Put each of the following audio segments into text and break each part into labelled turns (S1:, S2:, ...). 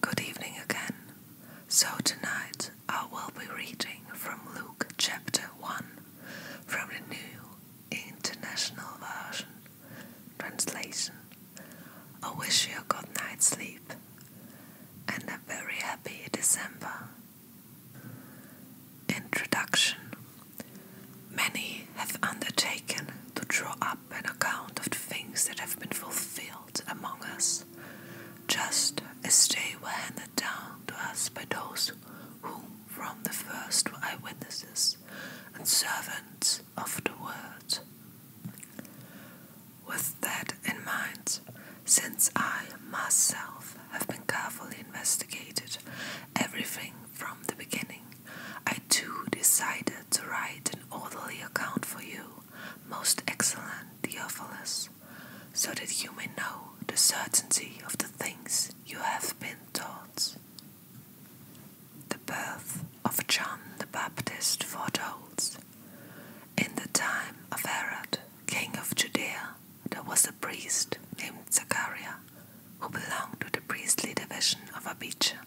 S1: Good evening again. So, tonight I will be reading from Luke chapter 1 from the New International Version. Translation I wish you a good night's sleep and a very happy December. Introduction Many have undertaken to draw up an account of the things that have been fulfilled among us, just as they were handed down to us by those who from the first were eyewitnesses and servants of the word. With that in mind, since I myself have been carefully investigated everything from the beginning, I too decided to write an orderly account for you, most excellent Theophilus, so that you may know the certainty of the things you have been taught. The birth of John the Baptist foretold. In the time of Herod, king of Judea, there was a priest named Zachariah who belonged to the priestly division of Abijah.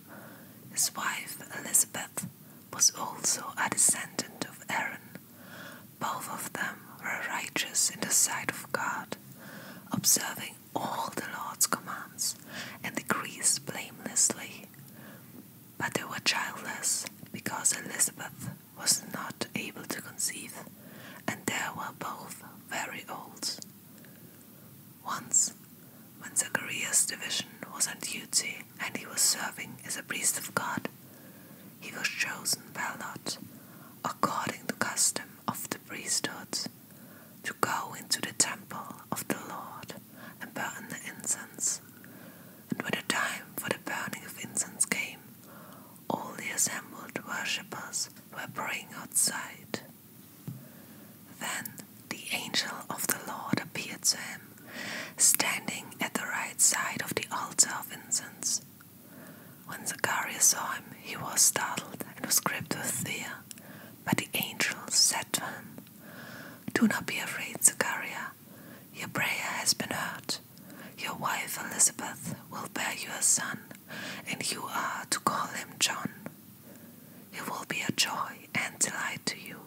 S1: His wife, Elizabeth, was also a descendant of Aaron. Both of them were righteous in the sight of God, observing all the Lord's commands and decrees blamelessly. But they were childless because Elizabeth was not able to conceive, and they were both very old. Once, when Zacharias' division was on duty and he was serving as a priest of God, he was chosen by lot, according to custom of the priesthood, to go into the temple of the Lord and burn the incense. And when the time for the burning of incense came, all the assembled worshippers were praying outside. Then the angel of the Lord appeared to him, standing at the right side of the altar of incense. When Zacharias saw him, he was startled and was gripped with fear. But the angel said to him, Do not be afraid, Zachariah. Your prayer has been heard. Your wife Elizabeth will bear you a son, and you are to call him John. He will be a joy and delight to you,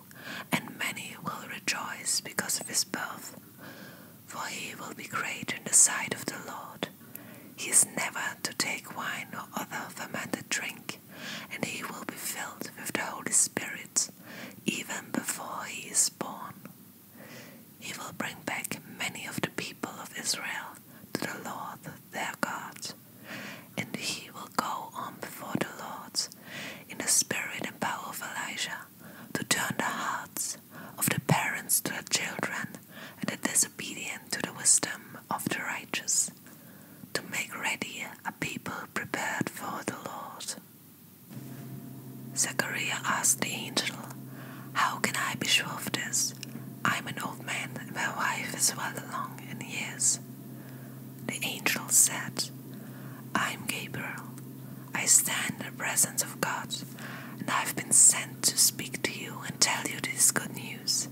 S1: and many will rejoice because of his birth. For he will be great in the sight of the Lord. He is never to take wine or other fermented drink, and he will be filled with the Holy Spirit, even before he is born. He will bring back many of the people of Israel to the Lord their God, and he will go on before the Lord in the spirit and power of Elijah to turn the hearts of the parents to their children and the disobedient to the wisdom of the righteous, to make ready a people prepared for the Lord. Zechariah asked the angel, How can I be sure of this? I'm an old man, and my wife is well along in years. The angel said, I am Gabriel. I stand in the presence of God, and I've been sent to speak to you and tell you this good news.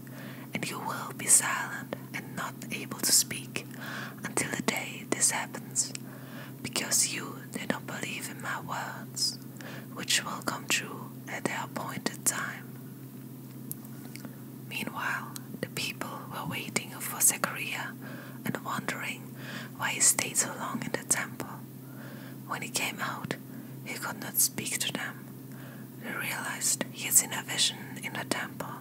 S1: And you will be silent and not able to speak until the day this happens, because you did not believe in my words, which will come true at their appointed time. Meanwhile, the people were waiting for Zechariah and wondering why he stayed so long in the temple. When he came out, he could not speak to them. They realized he had seen a vision in the temple,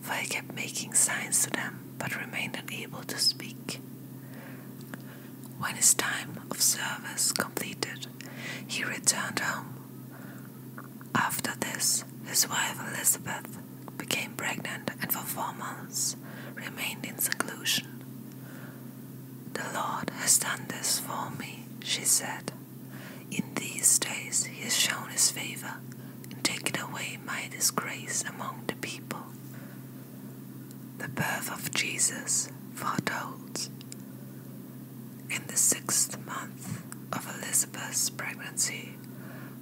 S1: for he kept making signs to them but remained unable to speak. When his time of service completed, he returned home. After this, his wife Elizabeth became pregnant and for four months remained in seclusion. The Lord has done this for me, she said. In these days he has shown his favor and taken away my disgrace among the people. The birth of Jesus foretold. In the sixth month of Elizabeth's pregnancy,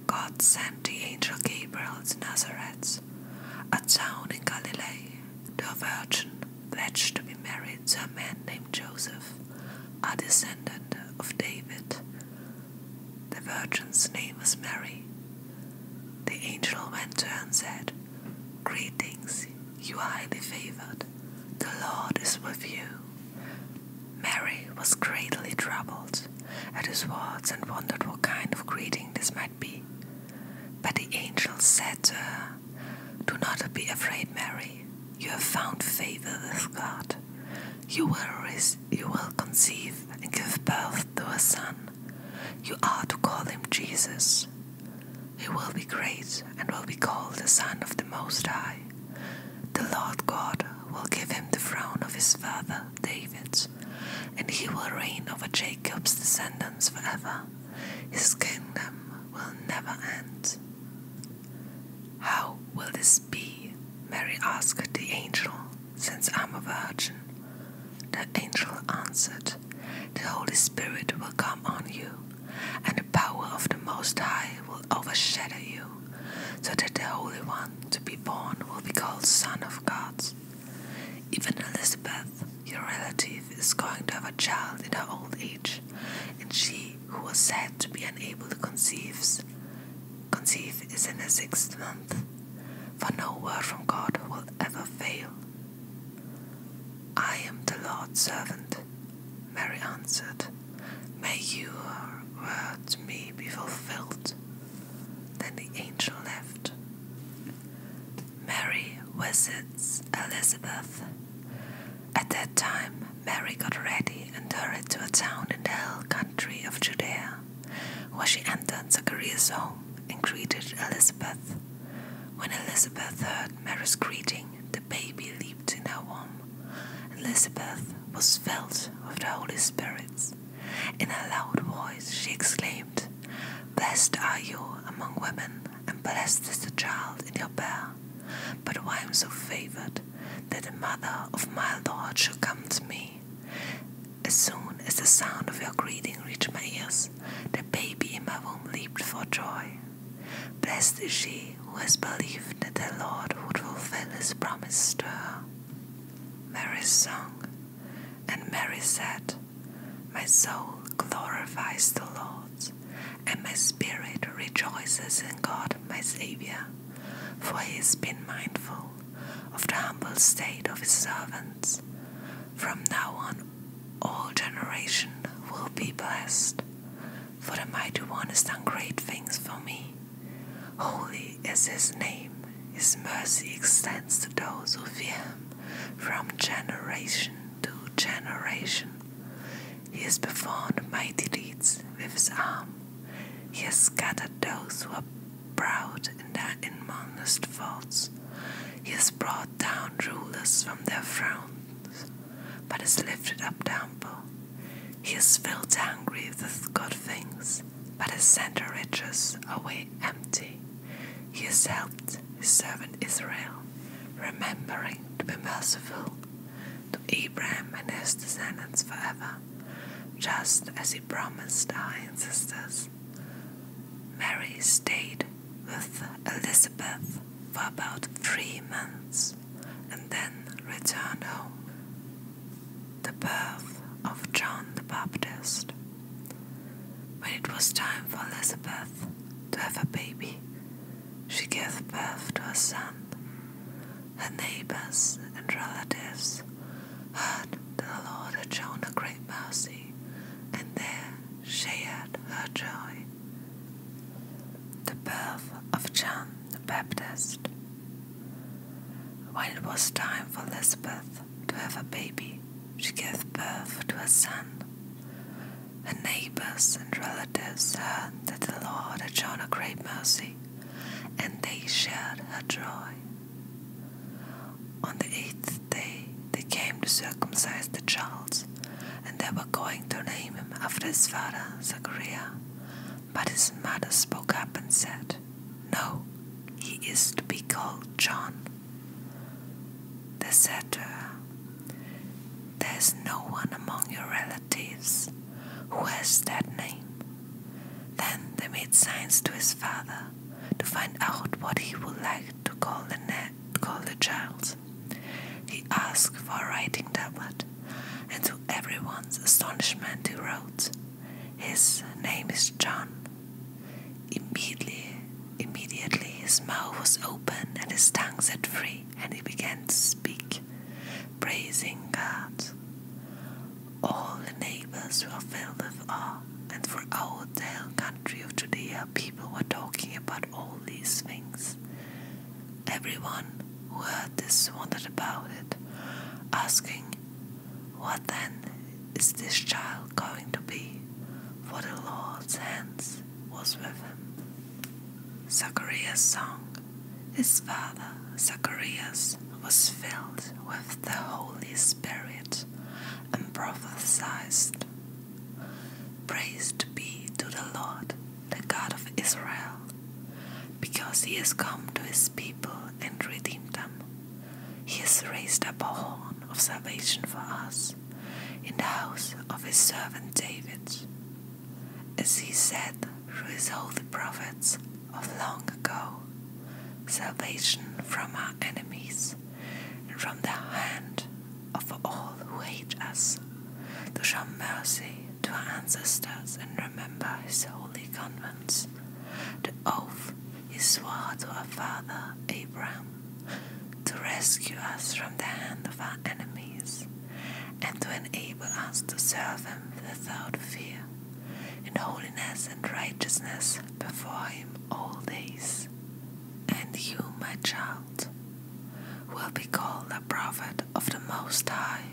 S1: God sent the angel Gabriel to Nazareth, a town in Galilee, to a virgin pledged to be married to a man named Joseph, a descendant of David. The virgin's name was Mary. The angel went to her and said, Greetings, you are highly favored. The Lord is with you. Mary was greatly troubled at his words and wondered what kind of greeting this might be. But the angel said to her, Do not be afraid, Mary. You have found favor with God. You will, you will conceive and give birth to a son. You are to call him Jesus. He will be great and will be called the Son of the Most High. The Lord God will give him the throne of his father David, and he will reign over Jacob's descendants forever. His kingdom will never end. How will this be? Mary asked the angel, since I'm a virgin. The angel answered, The Holy Spirit will come on you and the power of the Most High will overshadow you, so that the Holy One to be born will be called Son of God. Even Elizabeth, your relative, is going to have a child in her old age, and she who was said to be unable to conceive, conceive is in the sixth month. For no word from God will ever fail. I am the Lord's servant, Mary answered. May your word to me be fulfilled. Then the angel left. Mary visits Elizabeth. At that time, Mary got ready and hurried to a town in the hill country of Judea, where she entered Zacharias' home and greeted Elizabeth. When Elizabeth heard Mary's greeting, the baby leaped in her womb. Elizabeth was filled with the Holy Spirit. In a loud voice she exclaimed, Blessed are you among women, and blessed is the child in your belly. But why am so favored that the mother of my Lord should come to me? As soon as the sound of your greeting reached my ears, the baby in my womb leaped for joy. Blessed is she who has believed that the Lord would fulfill his promise to her. Mary's song. And Mary said, My soul glorifies the Lord, and my spirit rejoices in God my Saviour, for he has been mindful of the humble state of his servants. From now on, all generation will be blessed, for the mighty one has done great things for me. Holy is his name, his mercy extends to those who fear him from generation to generation. He has performed mighty deeds with his arm. He has scattered those who are proud in their inmost faults. He has brought down rulers from their thrones, but has lifted up temple. He has filled hungry with good things, but has sent the riches away empty. He has helped his servant Israel, remembering to be merciful to Abraham and his descendants forever, just as he promised our ancestors. Mary stayed with Elizabeth for about three months and then returned home. The birth of John the Baptist. When it was time for Elizabeth to have a baby, she gave birth to a son. Her neighbors and relatives heard that the Lord had shown a great mercy, and there Shared her joy. The birth of John the Baptist. When it was time for Elizabeth to have a baby, she gave birth to a son. Her neighbors and relatives heard that the Lord had shown her great mercy, and they shared her joy. On the eighth fifth they came to circumcise the child, and they were going to name him after his father, Zachariah. But his mother spoke up and said, No, he is to be called John. They said to her, There is no one among your relatives who has that name. Then they made signs to his father to find out what he would like to call the name called the child. He asked for a writing tablet, and to everyone's astonishment, he wrote, His name is John. Immediately, immediately his mouth was open and his tongue set free, and he began to speak, praising God. All the neighbors were filled with awe, and throughout the whole country of Judea people were talking about all these things. Everyone who heard this wondered about it, asking, What then is this child going to be? For the Lord's hands was with him. Zacharias' song. His father, Zacharias, was filled with the Holy Spirit and prophesied. Praised be to the Lord, the God of Israel, because he has come to his people and redeemed them. He has raised up a horn of salvation for us in the house of his servant David, as he said through his holy prophets of long ago salvation from our enemies and from the hand of all who hate us, to show mercy to our ancestors and remember his holy convents, the oath he swore to our father Abraham, to rescue us from the hand of our enemies, and to enable us to serve him without fear, in holiness and righteousness before him all days and you, my child, will be called a prophet of the Most High,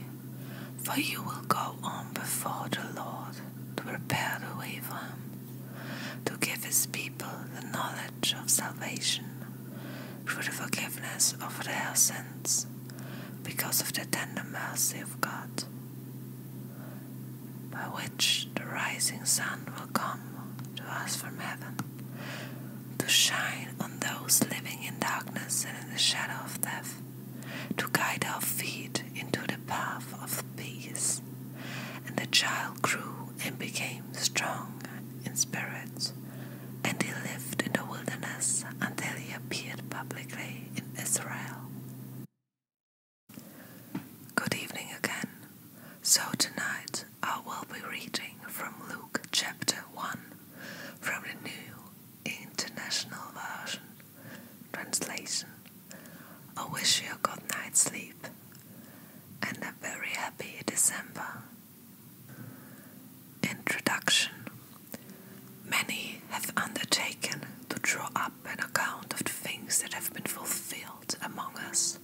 S1: for you will go on before the Lord to prepare the way for him, to give his people the knowledge of salvation through the forgiveness of their sins, because of the tender mercy of God by which the rising sun will come to us from heaven, to shine on those living in darkness and in the shadow of death, to guide our feet into the path of peace. And the child grew and became strong in spirit, and he lived in the wilderness until he appeared publicly in Israel. Good evening again. So, tonight I will be reading from Luke chapter 1 from the New International Version. Translation I wish you a good night's sleep and a very happy December. Introduction Many have undertaken to draw up an account of the things that have been fulfilled among us,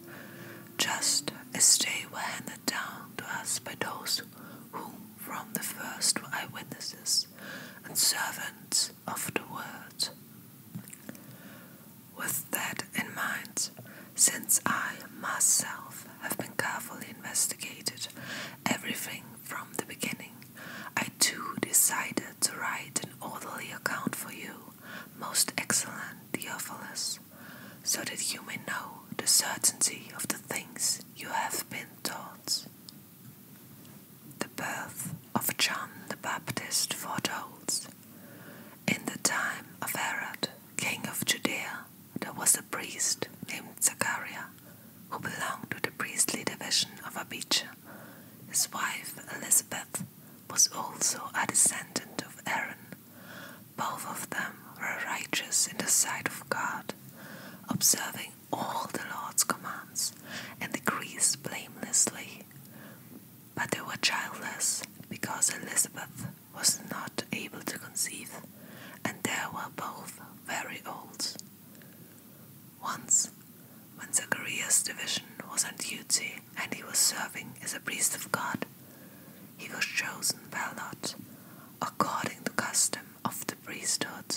S1: just as they were handed down to us by those who from the first were eyewitnesses and servants of the word. With that in mind, since I myself have been carefully investigated everything from the beginning, I too decided to write an orderly account for you, most excellent Theophilus, so that you may know the certainty of the things you have been taught. The birth of John the Baptist foretells, In the time of Herod, king of Judea, there was a priest named Zachariah who belonged to the priestly division of Abijah. His wife, Elizabeth, was also a descendant of Aaron. Both of them were righteous in the sight of God, observing all the Lord's commands and decrees blamelessly. But they were childless because Elizabeth was not able to conceive, and they were both very old. Once, when Zacharias' division was on duty and he was serving as a priest of God, he was chosen by lot, according to the custom of the priesthood,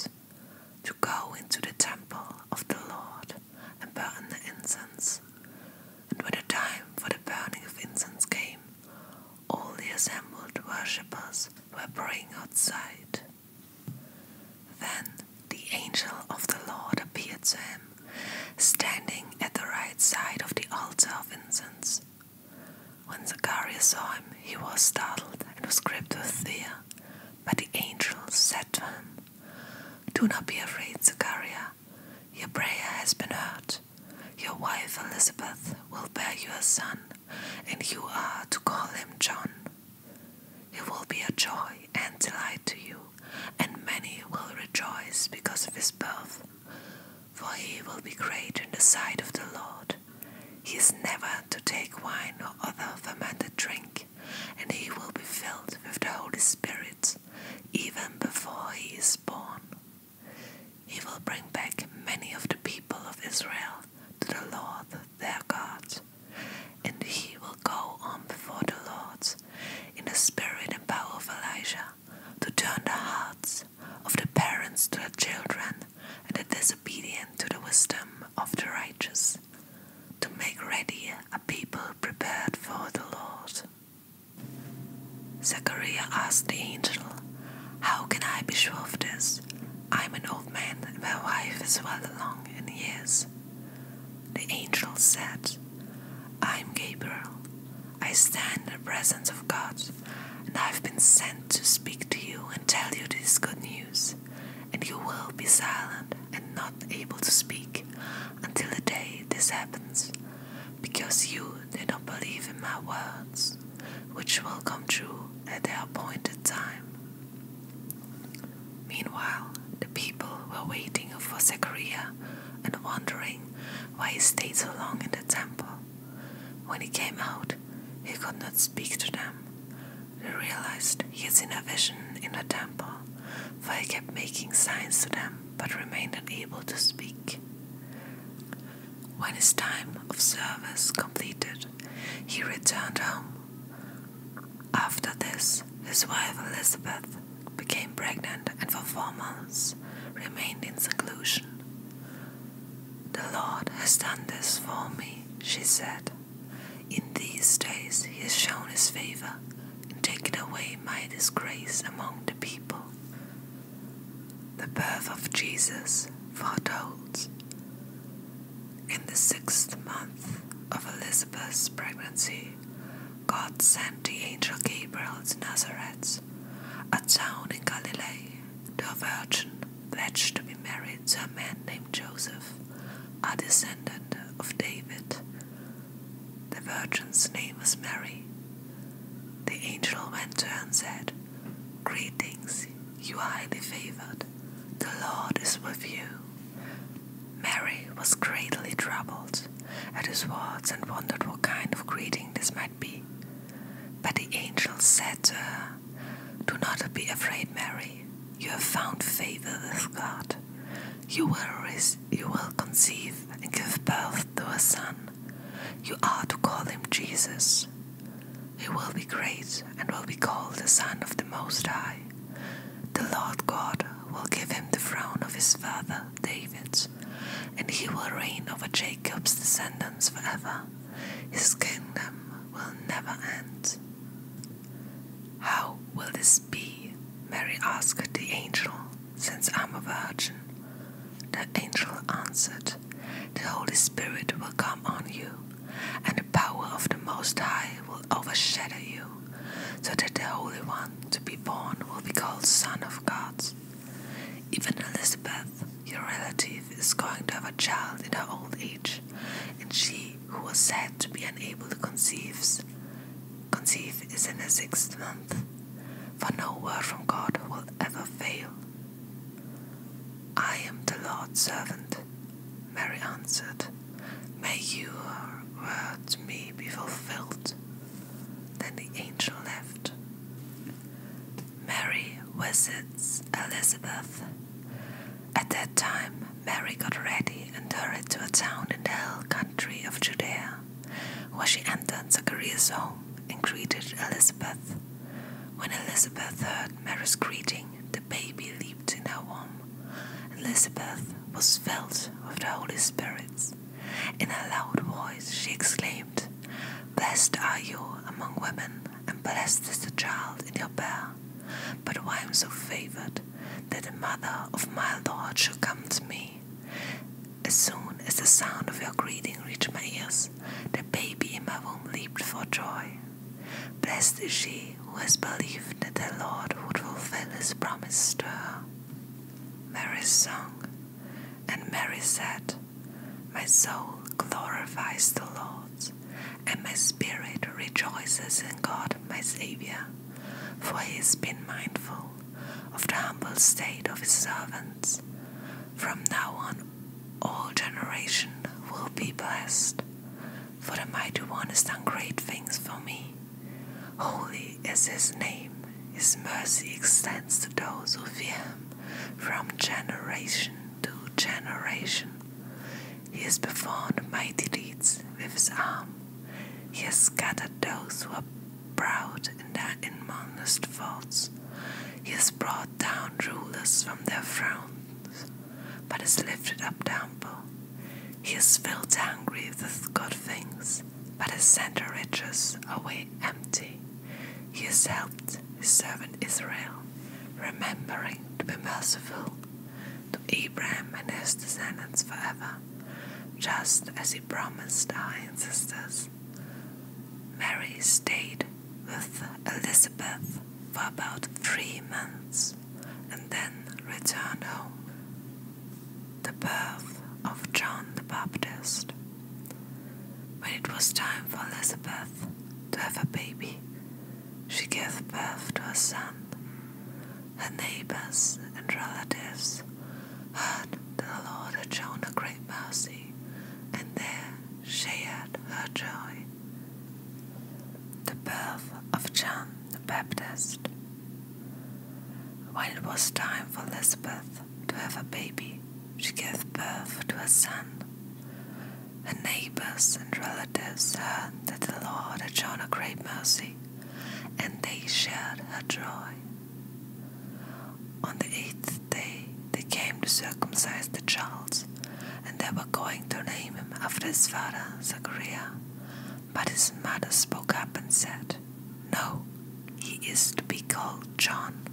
S1: to go into the temple of the Lord and burn the incense. And when the time for the burning of incense came, all the assembled worshippers were praying outside. Then the angel of the Lord appeared to him, standing at the right side of the altar of incense. When Zacharias saw him, he was startled and was gripped with fear. But the angel said to him, Do not be afraid, Zacharias. Your prayer has been heard. Your wife Elizabeth will bear you a son, and you are to call him John. He will be a joy and delight to you, and many will rejoice because of his birth. For he will be great in the sight of the Lord. He is never to take wine or other fermented drink, and he will be filled with the Holy Spirit, even before he is born. He will bring back many of the people of Israel to the Lord their God. And he will go on before the Lord in the spirit and power of Elijah to turn the hearts of the parents to the children and the disobedient to the wisdom of the righteous, to make ready a people prepared for the Lord. Zechariah asked the angel, How can I be sure of this? I am an old man, and my wife is well along in years. The angel said, I am Gabriel. I stand in the presence of God, and I've been sent to speak to you and tell you this good news. And you will be silent and not able to speak until the day this happens, because you did not believe in my words, which will come true at the appointed time. Meanwhile, the people were waiting for Zechariah and wondering why he stayed so long in the temple. When he came out, he could not speak to them. They realized he had seen a vision in the temple, for he kept making signs to them but remained unable to speak. When his time of service completed, he returned home. After this, his wife Elizabeth became pregnant and for four months remained in seclusion. The Lord has done this for me, she said. In these days he has shown his favor and taken away my disgrace among the people. The birth of Jesus foretold. In the sixth month of Elizabeth's pregnancy, God sent the angel Gabriel to Nazareth, a town in Galilee, to a virgin pledged to be married to a man named Joseph, a descendant of David. The virgin's name was Mary. The angel went to her and said, Greetings, you are highly favored. The Lord is with you. Mary was greatly troubled at his words and wondered what kind of greeting this might be. But the angel said to her, Do not be afraid, Mary. You have found favor with God. You will, you will conceive and give birth to a son. You are to call him Jesus. He will be great and will be called the Son of the Most High. The Lord God will give him the throne of his father David, and he will reign over Jacob's descendants forever. His kingdom will never end. How will this be? Mary asked the angel, since I'm a virgin. The angel answered, the Holy Spirit will come on you, and the power of the Most High will overshadow you, so that the Holy One to be born will be called Son of God. Even Elizabeth, your relative, is going to have a child in her old age, and she who was said to be unable to conceive, conceive is in the sixth month, for no word from God will ever fail. I am the Lord's servant. Mary answered, May your word to me be fulfilled. Then the angel left. Mary visits Elizabeth. At that time, Mary got ready and hurried to a town in the hill country of Judea, where she entered Zacharias' home and greeted Elizabeth. When Elizabeth heard Mary's greeting, the baby leaped in her womb. Elizabeth was filled with the Holy Spirit. In a loud voice she exclaimed, Blessed are you among women, and blessed is the child in your bear. But why am so favored that a mother of my Lord should come to me? As soon as the sound of your greeting reached my ears, the baby in my womb leaped for joy. Blessed is she who has believed that the Lord would fulfill his promise to her. Mary's song. And Mary said, My soul glorifies the Lord, and my spirit rejoices in God my Saviour, for he has been mindful of the humble state of his servants. From now on, all generation will be blessed, for the mighty one has done great things for me. Holy is his name, his mercy extends to those who fear him from generation to generation. He has performed mighty deeds with his arm. He has scattered those who are proud in their inmost thoughts. He has brought down rulers from their thrones, but has lifted up humble. He has filled angry with good things, but has sent the riches away empty. He has helped his servant Israel, remembering to be merciful to Abraham and his descendants forever, just as he promised our ancestors. Mary stayed with Elizabeth for about three months and then returned home. The birth of John the Baptist. When it was time for Elizabeth to have a baby, she gave birth to a son. Her neighbors and relatives heard that the Lord had shown a great mercy, and there Shared her joy. The birth of John the Baptist. When it was time for Elizabeth to have a baby, she gave birth to a son. Her neighbors and relatives heard that the Lord had shown her great mercy, and they shared her joy. On the eighth day they came to circumcise the child, and they were going to name him after his father, Zachariah. But his mother spoke up and said, No, he is to be called John.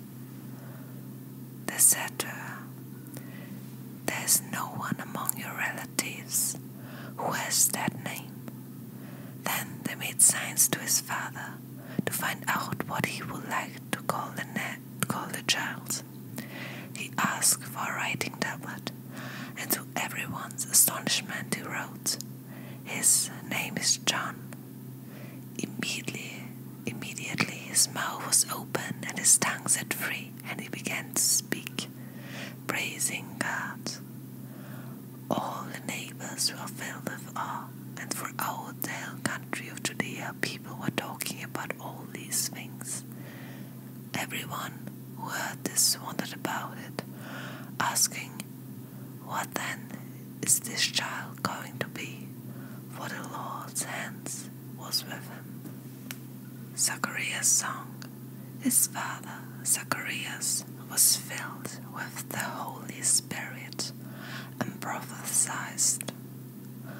S1: They said to her, There is no one among your relatives who has that name. Then they made signs to his father to find out what he would like to call the, name called the child. He asked for a writing tablet, and to everyone's astonishment, he wrote, His name is John. Immediately, immediately his mouth was open and his tongue set free, and he began to speak, praising God. All the neighbors were filled with awe and for our whole country of Judea, people were talking about all these things. Everyone who heard this wondered about it, asking, What then is this child going to be? For the Lord's hands was with him. Zacharias' song. His father, Zacharias, was filled with the Holy Spirit and prophesied Lord.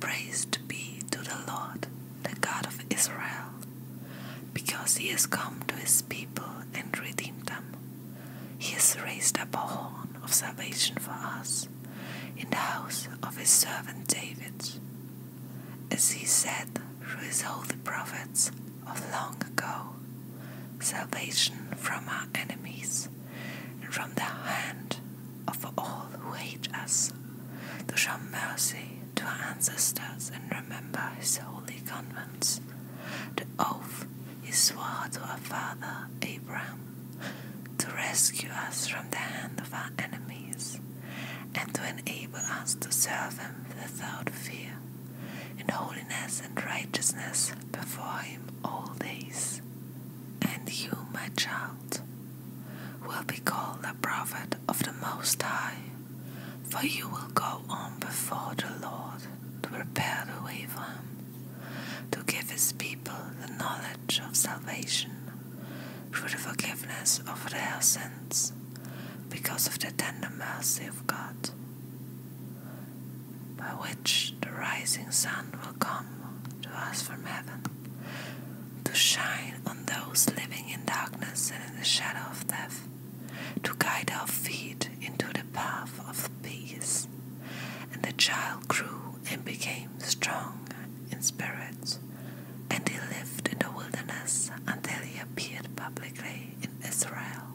S1: Praised be to the Lord, the God of Israel, because he has come to his people and redeemed them. He has raised up a horn of salvation for us in the house of his servant David, as he said through his holy prophets of long ago salvation from our enemies and from the hand of all who hate us, to show mercy to our ancestors and remember his holy convents, the oath he swore to our father Abraham, to rescue us from the hand of our enemies, and to enable us to serve him without fear, in holiness and righteousness before him all days and you, my child, will be called a prophet of the Most High, for you will go on before the Lord to prepare the way for him, to give his people the knowledge of salvation through the forgiveness of their sins, because of the tender mercy of God by which the rising sun will come to us from heaven, to shine on those living in darkness and in the shadow of death, to guide our feet into the path of peace. And the child grew and became strong in spirit, and he lived in the wilderness until he appeared publicly in Israel.